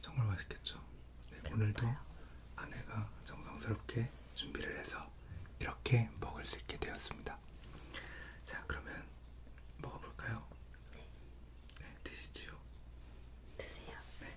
정말 맛있겠죠. 네, 오늘도 아내가 정성스럽게 준비를 해서 이렇게 먹을 수 있게 되었습니다. 자, 그러면 먹어볼까요? 네. 네, 드시지요. 드세요. 네.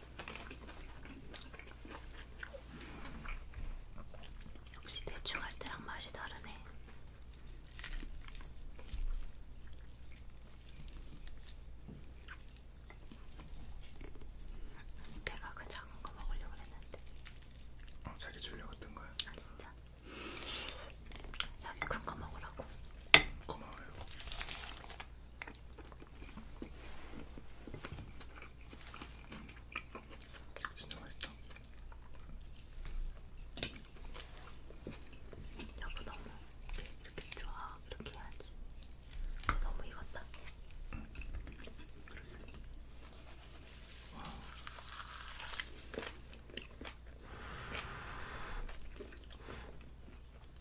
역시 대충 할 때랑 맛이 다르네. 내가 그 작은 거 먹으려고 했는데. 어, 자기 주려고 했던 거야? 아 진짜. 여기 큰거 먹으라고. 고마워요. 진짜 맛있다. 여보 너무 이렇게 좋아 이렇게 해야지. 너무 익었다. 응.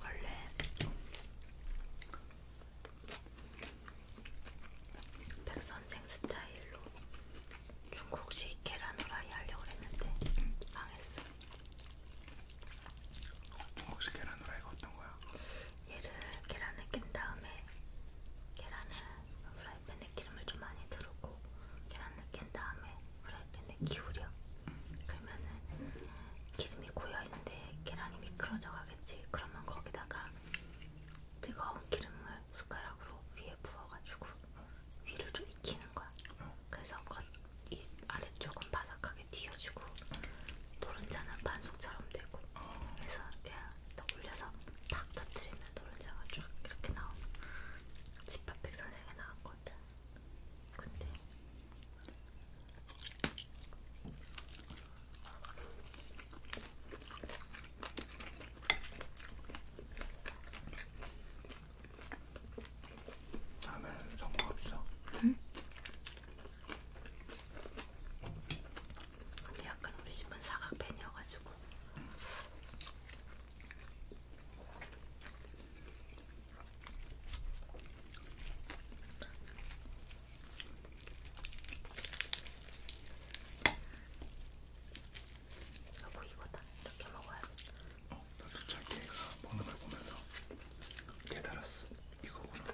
원래 백선생 스타일로 중국식 계란 후라이 하려고 했는데 망했어. 혹시 계란 후라이가 어떤 거야? 얘를 계란을 깬 다음에 계란을 프라이팬에 기름을 좀 많이 두르고 계란을 깬 다음에 프라이팬에 기울여. 그러면은 기름이 고여 있는데 계란이 미끄러져 가겠지. 그러면 거기다가 뜨거운 기름을 숟가락으로 위에 부어가지고 위를 좀 익히는 거야. 그래서 겉, 이 아래쪽은 바삭하게 튀어지고 노른자는 반숙처럼 되고. 그래서 그냥 딱 올려서 팍 터뜨리면 노른자가 쭉 이렇게 나오는 집밥 백선생에 나왔거든. 근데 다음에는 정보 없어. 응? 근데 약간 우리 집은 사각팬이어가지고. 여보 아, 뭐 이거다 이렇게 먹어야 어, 나도 참 얘가 먹는 걸 보면서 깨달았어. 이거구나.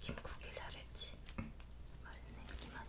김국일 잘했지? 맛있네 김한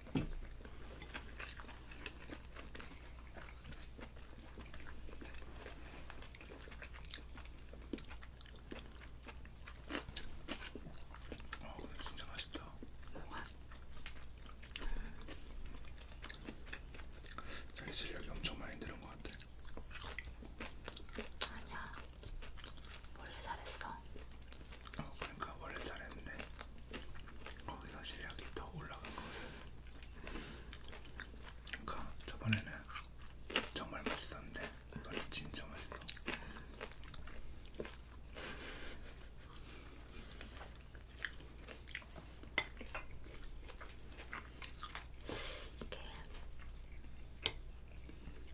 아 근데 진짜 맛있다. 뭐가? 자기 실력이 엄청 많이 늘은 것 같아. 아니야. 원래 잘했어. 어, 그러니까 원래 잘했는데 거기서 실력이 더 올라간 거예요. 그러니까 저번에는 정말 맛있었는데 원래 진짜 맛있어. 이게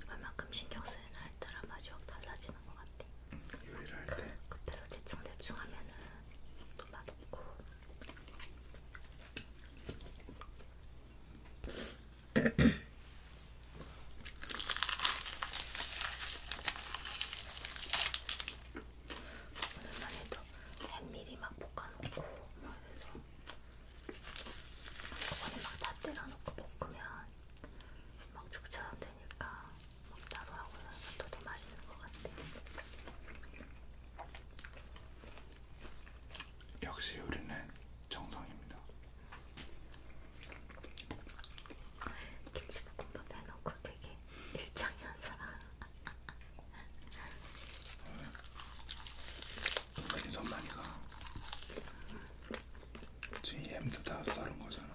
얼마큼 신경 쓰느냐에 따라 맛이 확 달라지는 지는 것 같아. 요리를 할 때. 급해서 대충 대충 하면은 또 맛없고. 오늘만 해도 햄밀이 막 볶아놓고 막 해서 한꺼번에 막다 때려놓고 볶으면 막 죽처럼 되니까 먹다로 하고 나서 또 되게 맛있는 것 같아. 역시 요리는 정성입니다. 김치볶음밥 해놓고 되게 일장연설한. 은근히 돈 많이 가. 음. GM도 다 다른 거잖아.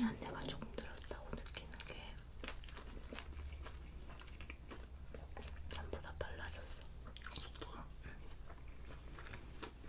난 아, 내가 조금 늘었다고 느끼는 게 전보다 빨라졌어. 속도가? 그 응. 네.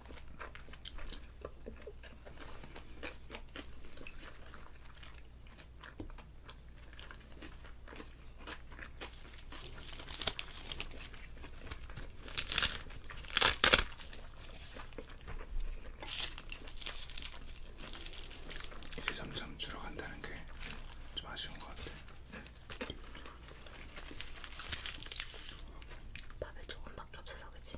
이게 점점 줄어간다는 게 좀 아쉬운 것 같아. 밥에 조금만 수밖에 없어서 그치?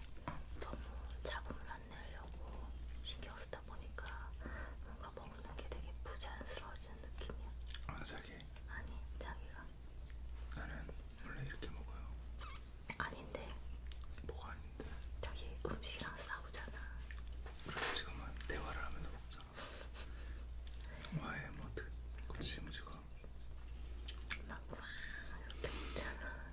너무 잡음을 안 내려고 신경 쓰다 보니까 뭔가 먹는 게 되게 부자연스러워지는 느낌이야. 아 자기? 아니 자기가. 나는 원래 이렇게 먹어요. 아닌데. 뭐가 아닌데? 저기 음식이랑 싸우잖아. 그래서 지금은 대화를 하면서 먹잖아. 와해 뭐 어떻게? 그 지금 지금. 막 와, 이렇게 먹잖아.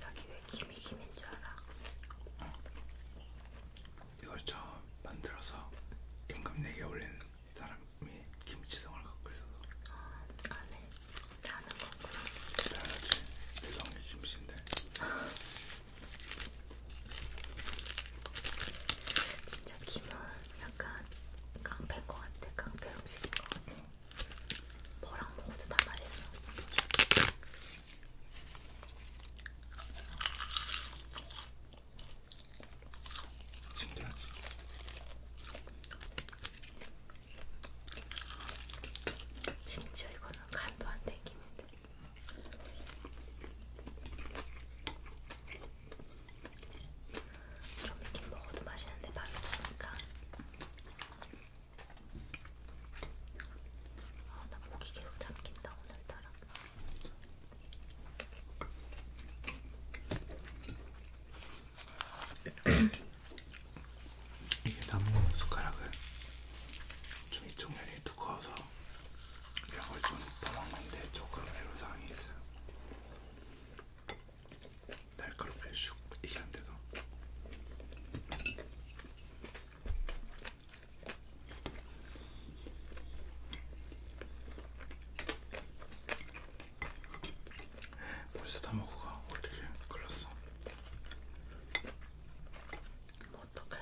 자기 왜 김이 김인 줄 알아? 어. 이걸 처음 만들어서 임금 내기에 네 올린 사람이 김치성을 갖고 있어서 아, 안에 자는 거구나. 기다려야지. 대성이 심신데. 진짜 김은 약간 깡패인 것 같아. 깡패 음식인 것 같아. 뭐랑 먹어도 다 맛있어. 신기하지? 심지어 이거는 간도 안 땡깁니다. 좀 익힌 먹어도 맛있는데 밥이 없으니까 아, 나 목이 계속 잠긴다 오늘따라 이게 남은 숟가락을 좀 이쪽 면이 두꺼워서 이런 걸좀 떠먹는데 조금 애로사항이 있어요. 날카롭게 슉 이게 안 돼서. 벌써 다 먹고 가. 어떻게 큰일 났어. 뭐 어떡해.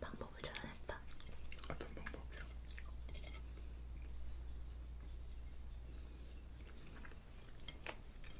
방법을 찾아냈다. 어떤 방법이요?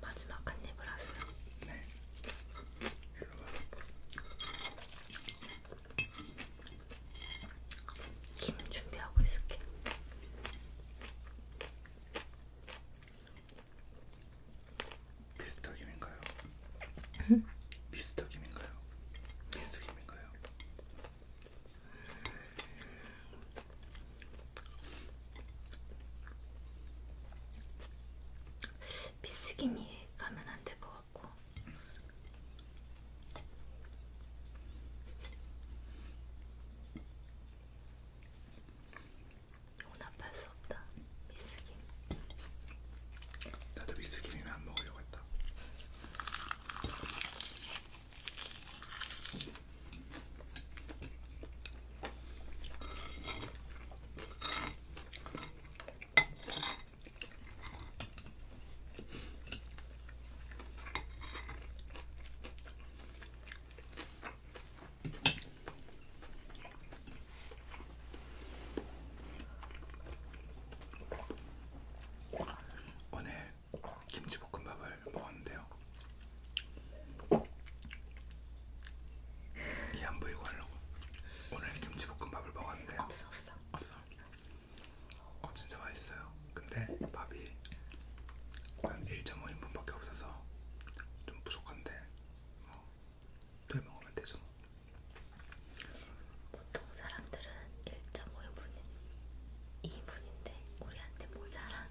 마지막 한 입을 하세요. 네. 김 준비하고 있을게요. 미스터 김인가요? 응? 미스터 김인가요? 미스터 김인가요? 음, 비스김이 가면 안 될 것 같고 용납할 수 없다 비스김 나도 비스김이면 안 먹으려고 했다 오늘 김치볶음밥을 먹었는데요. 이안 보이고 하려고 오늘 김치볶음밥을 먹었는데 없어 없어 없어 어 진짜 맛있어요 근데 밥이 한 1.5인분밖에 없어서 좀 부족한데 뭐 어, 토해 먹으면 되죠 보통 사람들은 1.5인분은 2인분인데 우리한테 모자란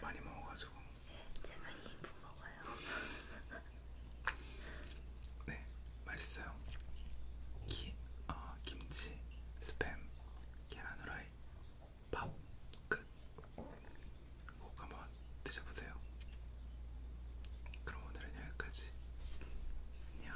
많이 먹어가지고. 네, 제가 2인분 먹어요. 네, 맛있어요. 기, 어, 김치, 스팸, 계란 후라이, 밥, 끝. 꼭 한번 드셔보세요. 그럼 오늘은 여기까지. 안녕.